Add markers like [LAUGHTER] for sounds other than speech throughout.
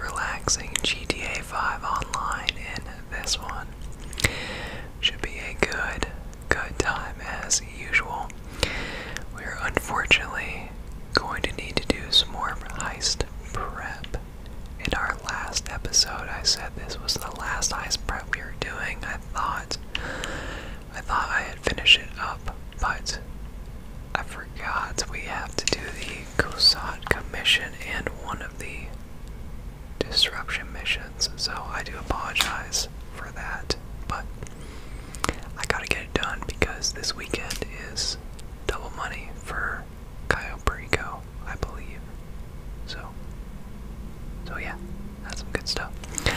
relaxing GTA 5 online in this one. Should be a good, good time as usual. We're unfortunately going to need to do some more heist prep. In our last episode, I said this was the last heist prep we were doing. I thought, I thought I had finished it up, but I forgot we have to do the Kusat Commission and one of the disruption missions, so I do apologize for that, but I gotta get it done because this weekend is double money for Cayo Perico, I believe. So, so yeah, that's some good stuff. I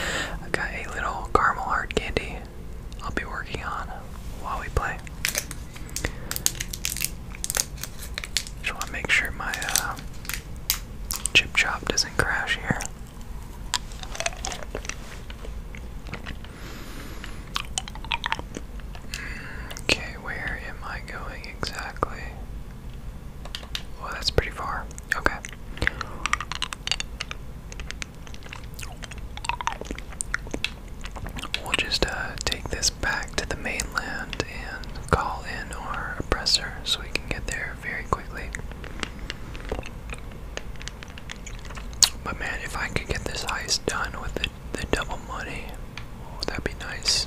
have got a little caramel hard candy I'll be working on while we play. Just want to make sure my uh, chip chop doesn't crash here. Okay, where am I going exactly? Well, oh, that's pretty far. Okay. We'll just uh, take this back to the mainland and call in our oppressor so we can get there very quickly. But man, if I could get this heist done with the, double money, oh, that'd be nice.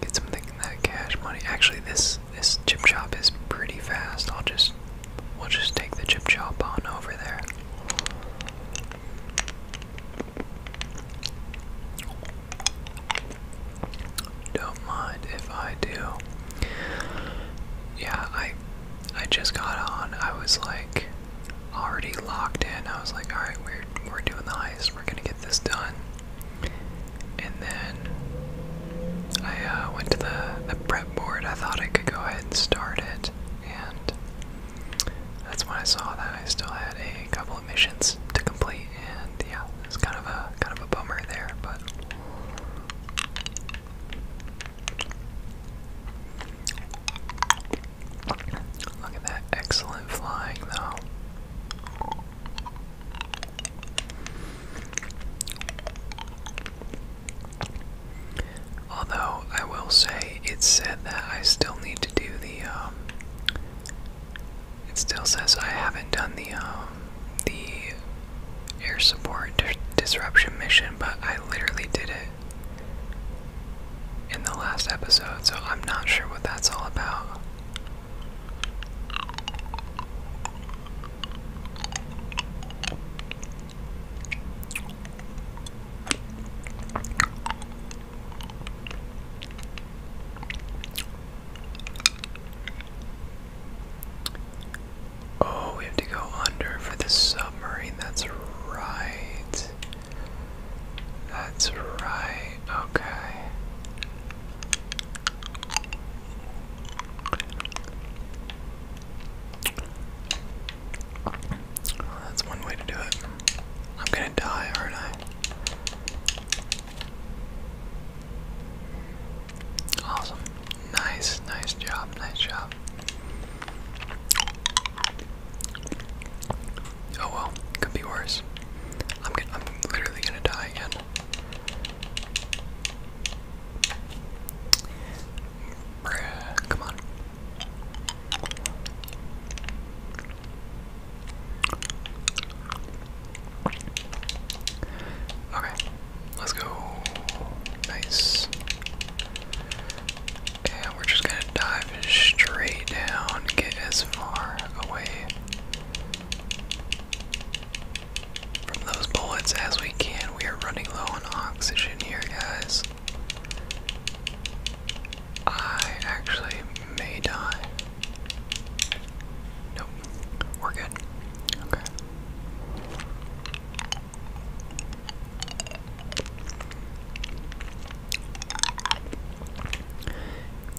Get some of that cash money. Actually, this this chip shop is pretty fast. I'll just we'll just take the chip shop on over there. Don't mind if I do. Yeah, I I just got on. I was like already locked in. I was like, alright, we're we're doing the heist, we're gonna get this done. And then I uh, went to the, the prep board. I thought I could go ahead and start it and that's when I saw that I still had a couple of missions to complete, and yeah, it's kind of a kind of a bummer there, but look at that excellent flying though. Although I will say it said that I still need to do the um, it still says I haven't done the um, the air support disruption mission, but I literally did it in the last episode, so I'm not sure what that's all about. Oh, we have to go under for the submarine. That's right. That's right. Okay. That's one way to do it. I'm gonna die, aren't I? Awesome. Nice, nice job, nice job. Oh well, could be worse. I'm gonna, I'm literally gonna die again come on. Okay, let's go. Nice. And we're just gonna dive straight down, get as far away from those bullets as we can. We are running low on oxygen here, guys. I actually may die. Nope. We're good. Okay.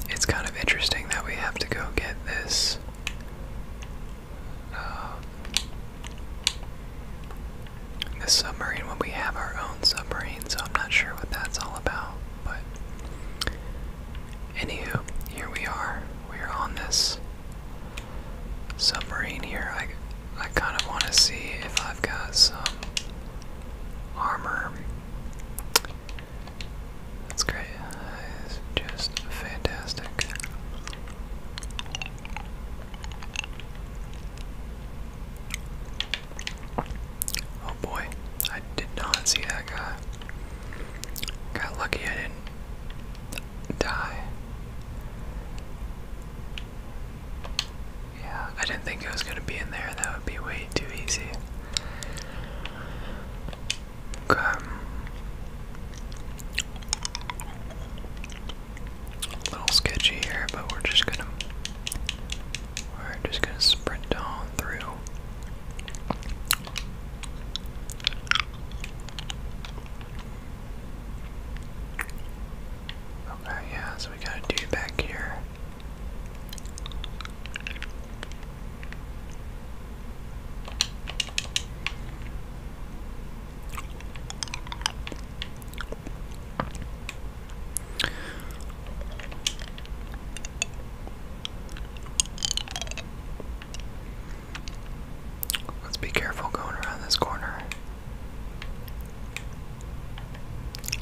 It's kind of interesting that we have to go get this uh, the submarine when we have our own submarine, so I'm not sure what that's all about. But anywho, here we are. We're on this submarine here. I I kind of want to see if I've got some armor. That's great. That is just fantastic. Oh boy, I did not see that guy. Got lucky I didn't die. Yeah, I didn't think it was going to be in there. That would be way too easy. Um, a little sketchy here, but we're just gonna we're just gonna sprint on through. Okay, yeah, so we got a dude back here. Let's be careful going around this corner.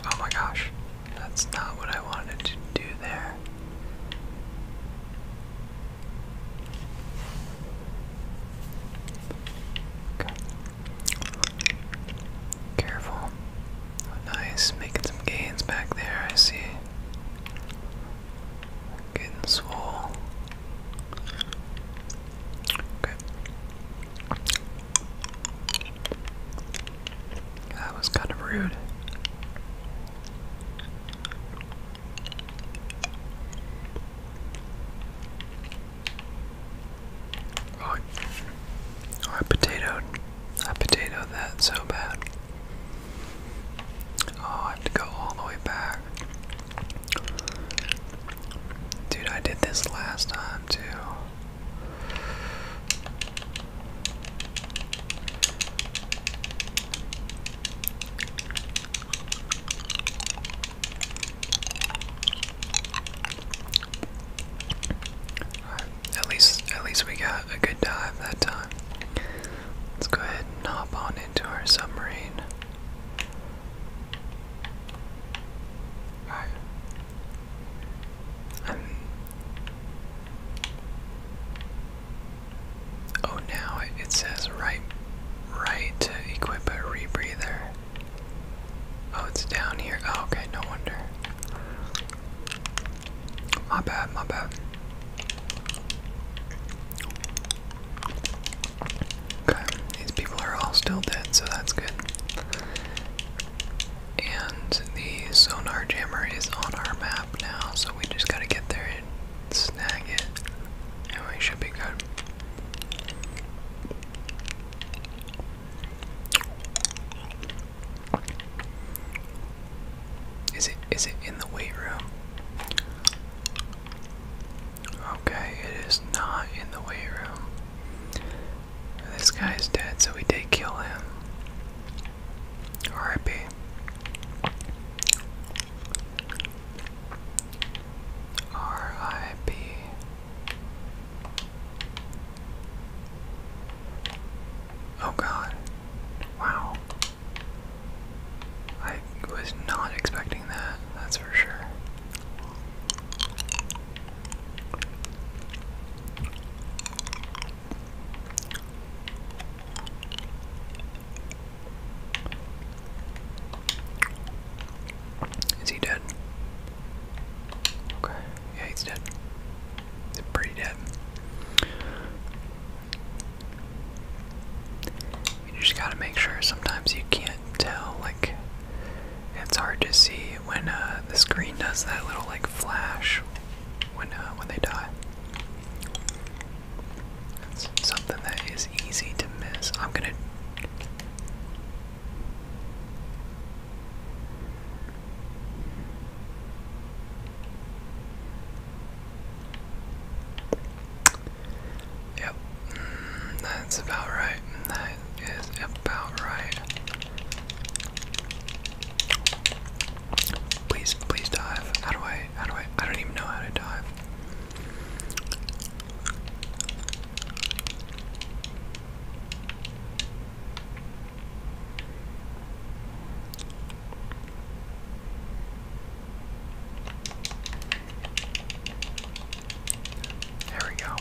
Oh my gosh, that's not what I wanted to do there. Careful. Oh, nice. Making some gains back there, I see. Getting swole. Okay. That was kind of rude. Oh, I potatoed. I potatoed that so bad. Oh, I have to go all the way back. Dude, I did this last time too at least at least we got a good dive that time. Let's go ahead and hop on into our submarine. Alright. Oh, now it says right, right to equip a rebreather. Oh, it's down here. Oh, okay, no wonder. My bad, my bad. Okay, these people are all still dead, so that's good. And the sonar jammer is on our map now, so we just gotta get there and snag it and oh, should be good. Is it is it in the weight room? Okay, it is not in the weight room. This guy is dead, so we did kill him. R.I.P. R.I.P. Oh god. Wow. I was not expecting that, that's for sure. Is he dead? Okay, yeah, he's dead. He's pretty dead. You just gotta make sure sometimes you can't tell, like, it's hard to see when uh, the screen does that little, like, flash when, uh, when they die. It's something that is easy to miss. I'm gonna. Yep, mm, that's about right. That is about right. Please, please dive. How do I? How do I? I don't even know how to dive. There we go.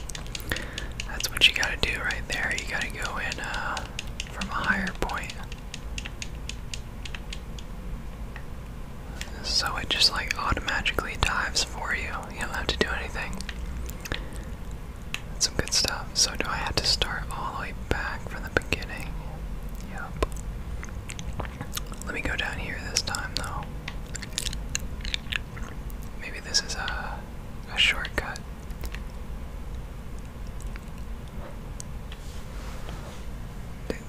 That's what you gotta do right there. You gotta go in uh, from a higher point. So it just like automatically dives for you. You don't have to do anything. some good stuff. So do I have to start all the way back from the beginning? Yep. Let me go down here this time though. Maybe this is a a shortcut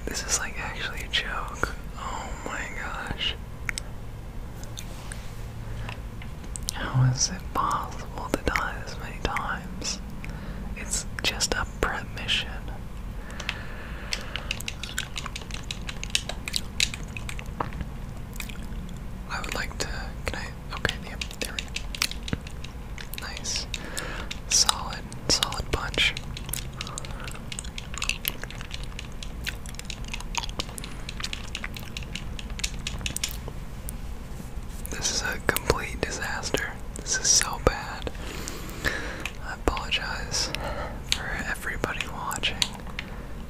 this is like actually a joke. Oh my gosh. How is it possible to die this many times? It's just a prep mission. I would like to. Can I? Okay, yeah, there we go. Nice. Solid solid punch. This is a complete disaster. This is so bad. I apologize for everybody watching.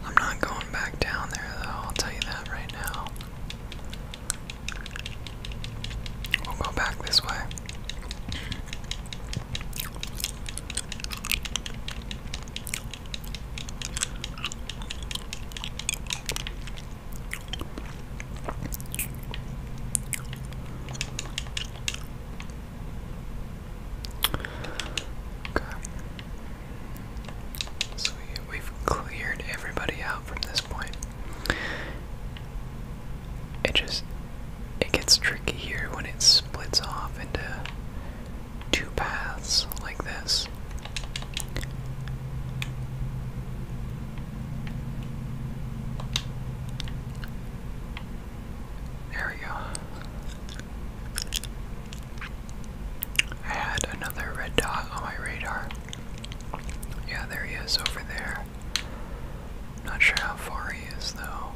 I'm not going back down there though, I'll tell you that right now. We'll go back this way. Okay. So we, have cleared everybody out from this point. It just it gets tricky here when it splits off into two paths like this. There we go. I had another red dot on my radar. Yeah, there he is over there. Not sure how far he is, though.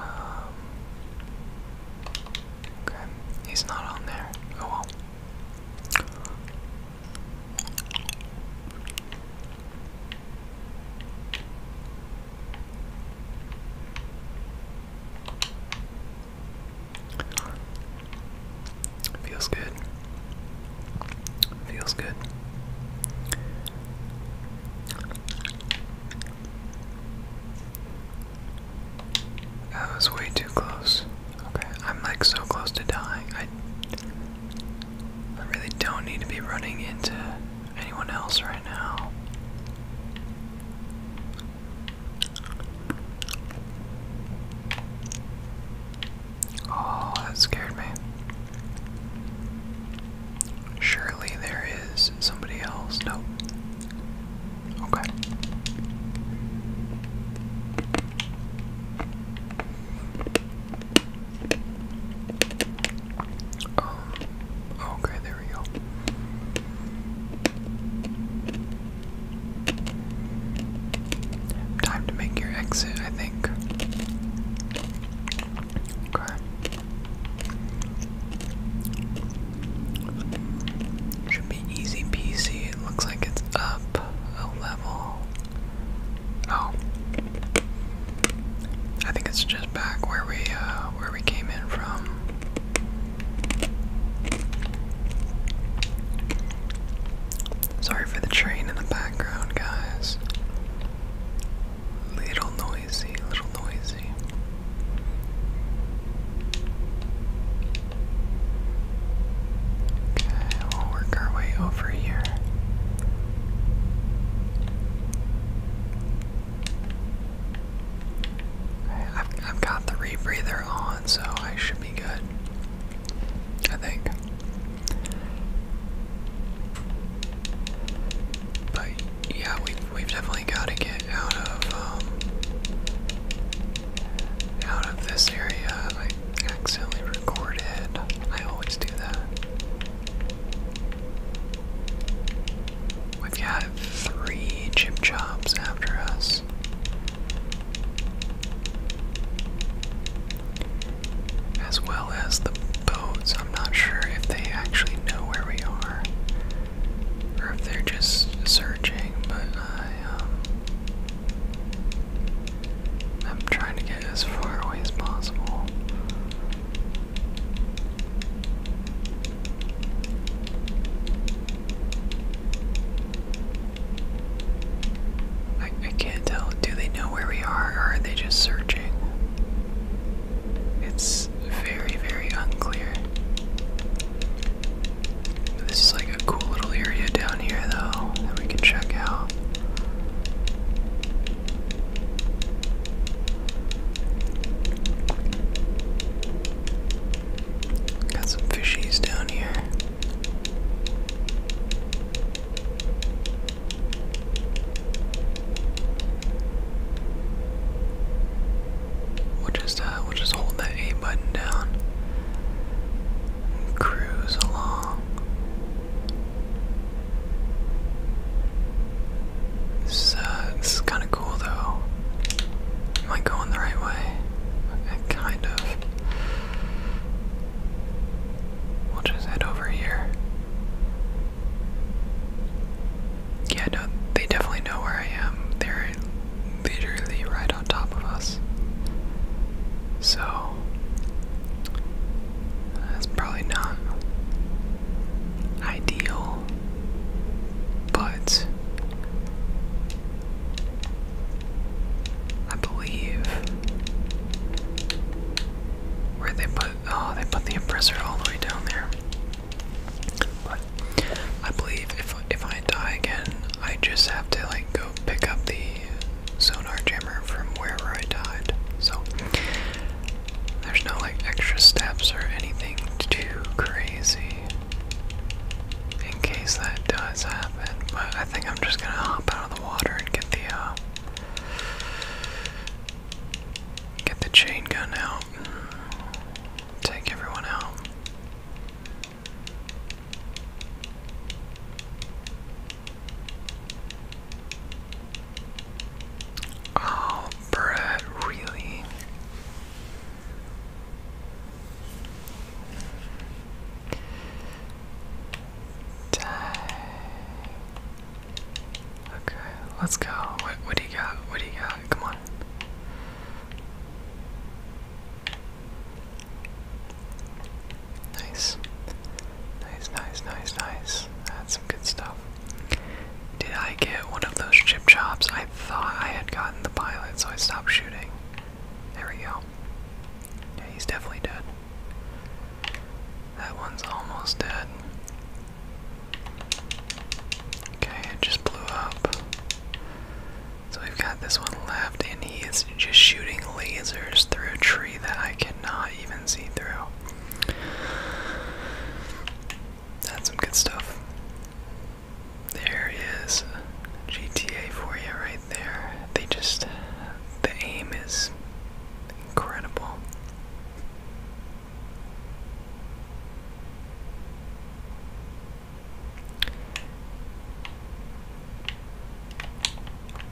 Um, okay, he's not on there. Oh well. Feels good. Feels good. That was way too close. Okay, I'm like so close to dying. I I really don't need to be running into anyone else right now. Oh, that scared me. Surely there is somebody else. Nope. Okay. Um, okay, there we go. Time to make your exit, I think. Okay. Should be easy peasy. looks like it's up a level. Oh. I think it's just back where we uh, where we came in from. Sorry for the train in the background, guys. Little noisy, little noisy. Okay, we'll work our way over here. I've, I've got the rebreather on, so I should good. I think. But yeah, we have definitely got to get out of um, out of this area. I accidentally recorded. I always do that. We've got three chip chops after us. As well as the boats. I'm not sure if they actually know where we are. Or if they're just searching, but I, am um, trying to get as far away as possible. I, I can't tell. Do they know where we are, or are they just searching? It's very, very unclear. This is like a cool little area down here, though, that we can check out. Got some fishies down here. We'll just uh, we'll just hold that A button down. cruise along. This, this is kind of of cool though. Am I going the right way? Kind of. We'll just head over here. Yeah, no, they definitely know where I am. They're literally right on top of us. So, that's probably not ideal, but I believe. Where they put oh they put the oppressor all the way down there. But I believe if if I die again, I just have to like go pick up the sonar jammer from where I died. So there's no like extra steps or anything too crazy in case that does happen. But I think I'm just gonna hop out of the water and get the uh, get the chain gun out. Take everyone out. Oh, Brett, really? Dang. Okay, let's go. What, what do you got? What do you got? Come on. Nice. Nice, nice, nice, nice. That's some good stuff. Did I get one of those chip chops? thought I had gotten the pilot, so I stopped shooting. There we go. Yeah, he's definitely dead. That one's almost dead. Okay, it just blew up. So we've got this one left, and he is just shooting lasers through a tree that I cannot even see through. That's some good stuff. There is GTA for you right there. They just, the aim is incredible.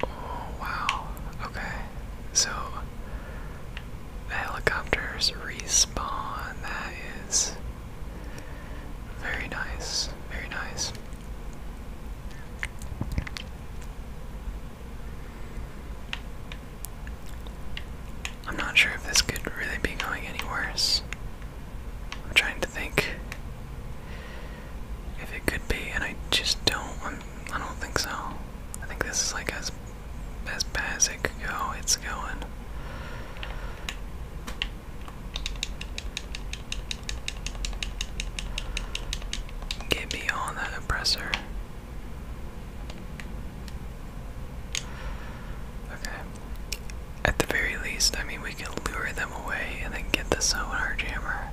Oh, wow. Okay. So, helicopters respawn. That is very nice, very nice. I'm not sure if this could really be going any worse. I'm trying to think if it could be, and I just don't. I'm, I i do not think so. I think this is like as as bad as it could go. It's going. Get beyond that oppressor. Okay. At the very least, I mean, we can lure them away and then get the sonar jammer.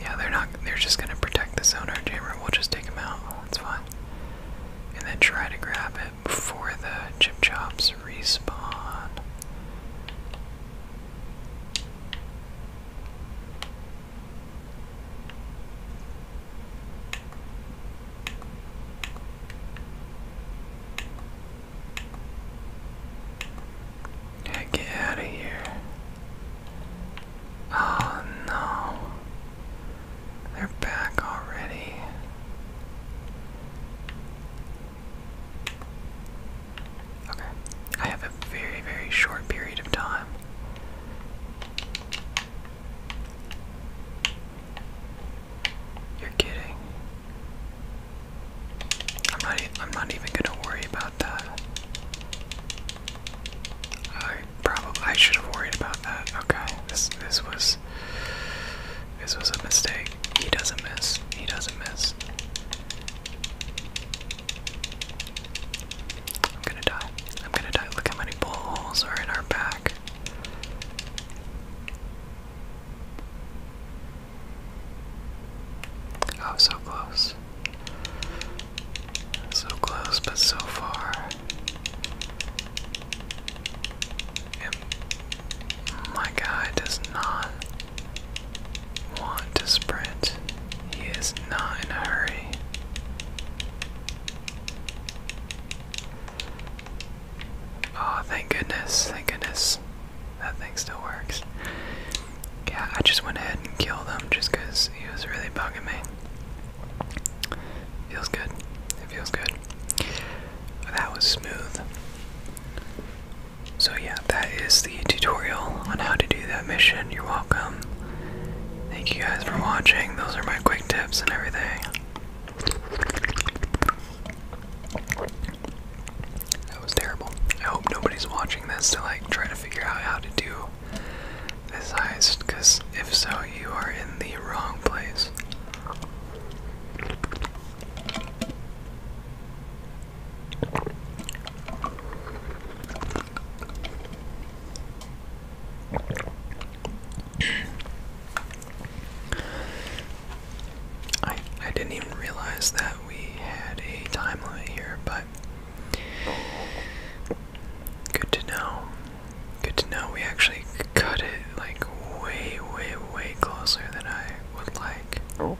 Yeah, they're not. They're just gonna protect the sonar jammer. We'll just take them out. That's fine. And then try to grab it before the chip chops respawn. get out of here. Oh no. They're back already. Okay. I have a very, very short period of time. You're kidding. I'm not. E I'm not even gonna worry about that. I Probably I should have worried about that. Okay, this this was this was a mistake. He doesn't miss. He doesn't miss. I'm gonna die. I'm gonna die. Look how many bullet holes are in our back. Oh, so close. So close, but so far my guy does not want to sprint. He is not in a hurry. Oh, thank goodness, thank goodness. That thing still works. Yeah, I just went ahead and killed him just because he was really bugging me. Feels good. It feels good. That was smooth. So, yeah, that is the tutorial on how to do that mission. You're welcome. Thank you guys for watching. Those are my quick tips and everything. That was terrible. I hope nobody's watching this to like try to figure out how to do this heist, because if so, you are in the wrong place. I I didn't even realize that we had a time here, but good to know. Good to know we actually cut it like way, way, way closer than I would like. Oh.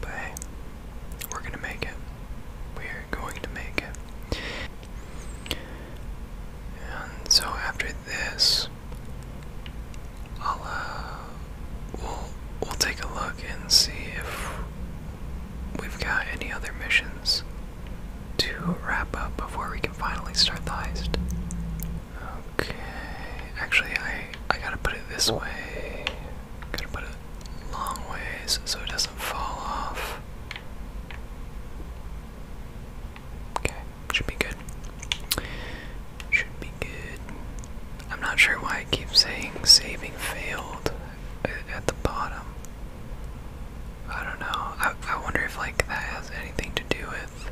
But hey, we're gonna make it. We're going to make it. And so after this, I'll uh, we'll we'll take a look and see if we've got any other missions to wrap up before we can finally start the heist. Okay, actually, I I gotta put it this way. Gotta put it long ways so it doesn't fall off. Okay, should be good. Should be good. I'm not sure why I keep saying saving failed at the bottom. I don't know. I, I wonder if like that has anything to do with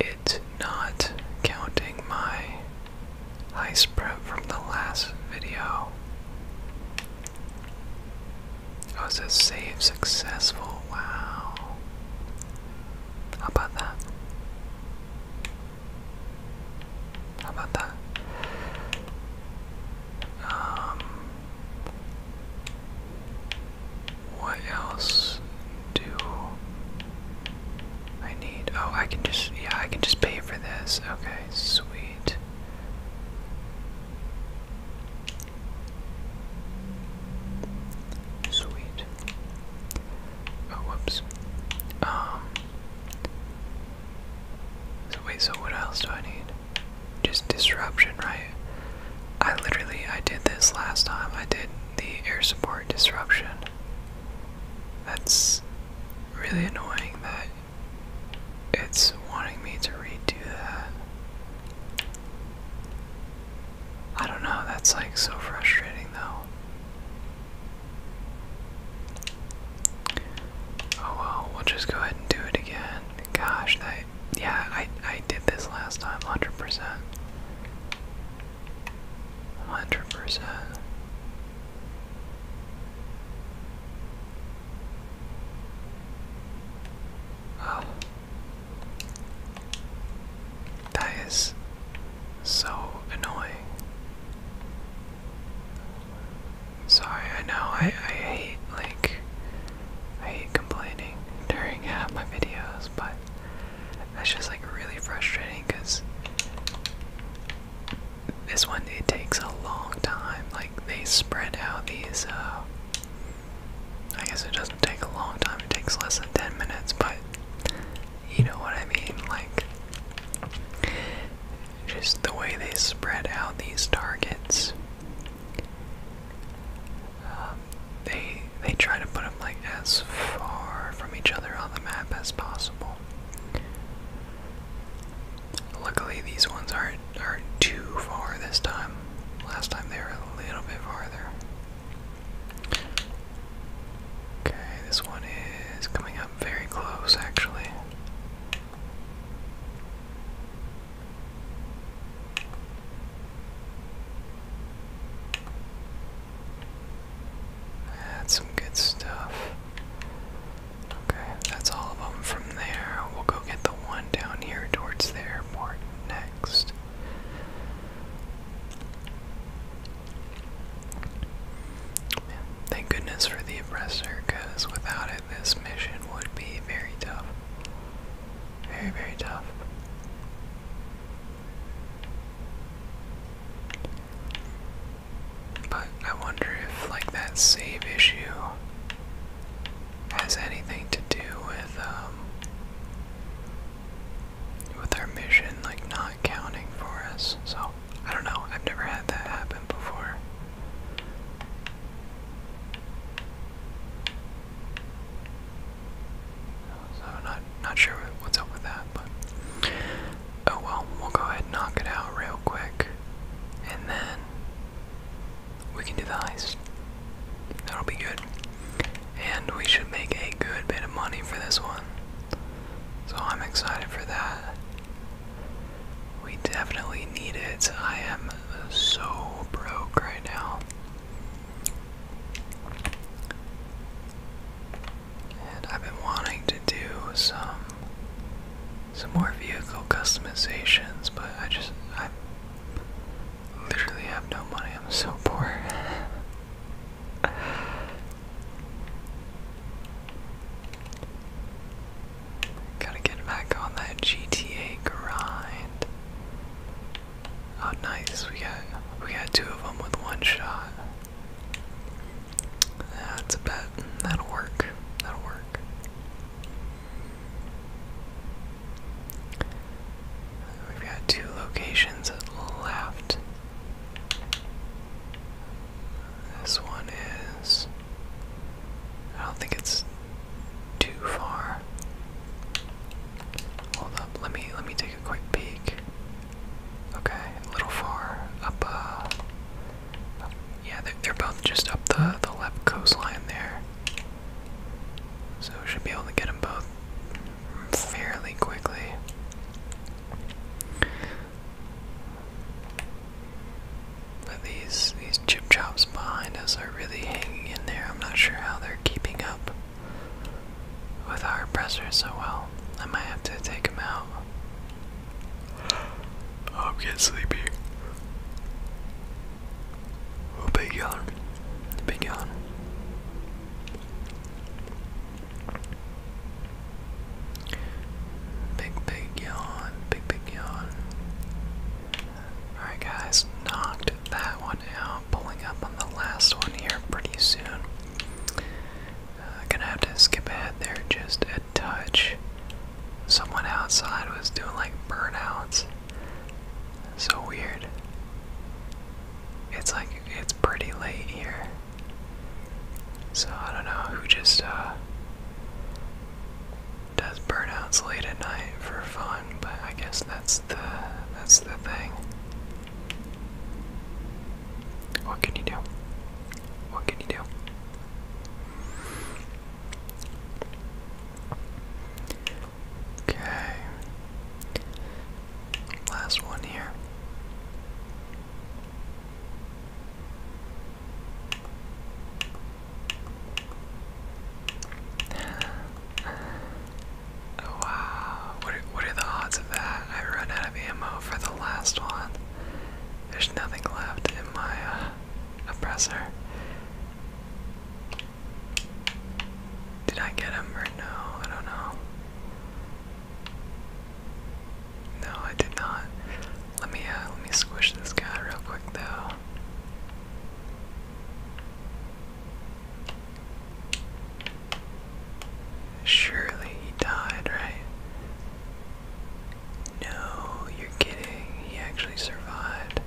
it not counting my heist prep from the last video. Oh, it says save successful. Wow. How about that? How about that? Um, what else do I need? Oh, I can just yeah, I can just pay for this. Okay, sweet. Sweet. Oh, whoops. Um, wait, so what else do I need? Just disruption, right? I literally, I did this last time. I did the air support disruption. That's really annoying that it's wanting me to redo that. I don't know, that's like so frustrating though. Oh well, we'll just go ahead and do it again. Gosh, that yeah, I I did this last time, hundred percent. Hundred percent. Oh. That is so annoying. Sorry, I know I, I hate like I hate complaining during half uh, my videos, but that's just like really frustrating because this one it takes a long time. Like they spread out these. Uh, I guess it doesn't take a long time. It takes less than ten minutes, but you know what I mean? Like, just the way they spread out these targets. Um, they they try to put them like as far from each other on the map as possible. Luckily, these ones aren't aren't too far this time. Last time they were a little bit farther. Okay, this one is coming up very close actually. That's some good stuff. Okay, that's all of them from there. We'll go get the one down here towards the airport next thank goodness for the oppressor, because without it, this mission would be very tough. Very, very tough. But I wonder if, like, that save issue has anything to do with, um, with our mission, like, not counting for us. So I don't know. I've never had that happen before. So not not sure what's up with that, but oh well. We'll go ahead and knock it out real quick, and then we can do the heist. That'll be good, and we should make a good bit of money for this one. So I'm excited for that. We definitely need it. I am so broke right now. And I've been wanting to do some some more vehicle customizations, but I just I literally have no money. I'm so poor. [LAUGHS] Gotta get back on that GTA grind. Oh, nice. We got we got two of them with one shot. That's a bet. That'll work. That'll work. We've got two locations left. This one is. I don't think it's too far. Hold up, let me let me take a quick peek. Okay, a little far up. Uh, yeah, they're, they're both just up the the left coastline there. So we should be able to get them both fairly quickly. But these these chip chops behind us are really hanging in there. I'm not sure how they're keeping up with our pressure so well. I might have to take them out. Oh, I'm getting sleepy. Oh, big yawn. Big yawn. Big, big yawn. Big, big yawn. Alright, guys. Knocked that one out. Pulling up on the last one here pretty soon. Uh, gonna have to skip ahead there just a touch. Someone outside was doing like burnouts. So weird it's like it's pretty late here. So I don't know who just uh does burnouts late at night for fun, but I guess that's the that's the thing. What can you do? What can you do? Okay. Last one here wow, what what are the odds of that? I run out of ammo for the last one. There's nothing left in my uh, oppressor. Did I get him or no? I don't know. No, I did not. Let me uh, let me squish this guy real quick though. Surely he died, right? No, you're kidding. He actually survived.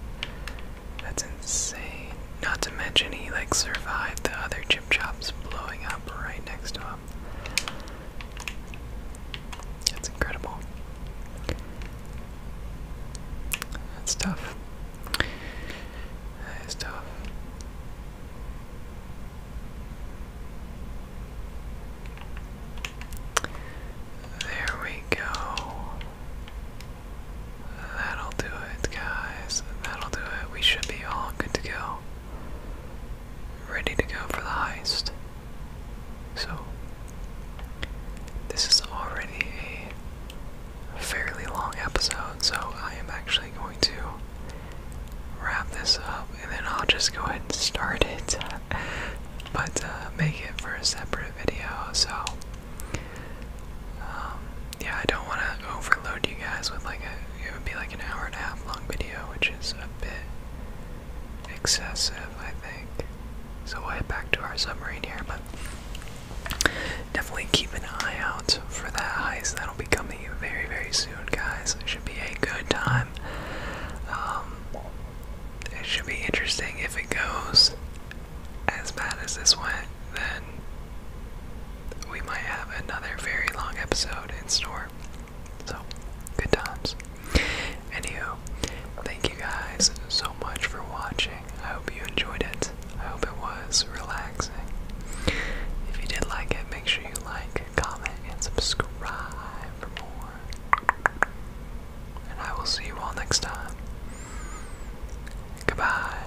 That's insane. Not to mention he like survived the other Chop's blowing up right next to him. That's incredible. That's tough. That is tough. There we go. That'll do it, guys. That'll do it. We should be all good to go ready to go for the heist. So, this is already a fairly long episode, so I am actually going to wrap this up and then I'll just go ahead and start it, [LAUGHS] but uh, make it for a separate video. So, um, yeah, I don't want to overload you guys with like a. It would be like an hour and a half long video, which is a bit excessive, I think. So we'll head back to our submarine here, but definitely keep an eye out for that heist. That'll be coming very, very soon, guys. It should be a good time. Um, it should be interesting if it goes as bad as this one then we might have another very long episode in store. So, good times. Anywho, thank you guys so much for watching. I hope you enjoyed it. I hope it was relaxing. If you did like it, make sure you like, comment, and subscribe for more. And I will see you all next time. Goodbye.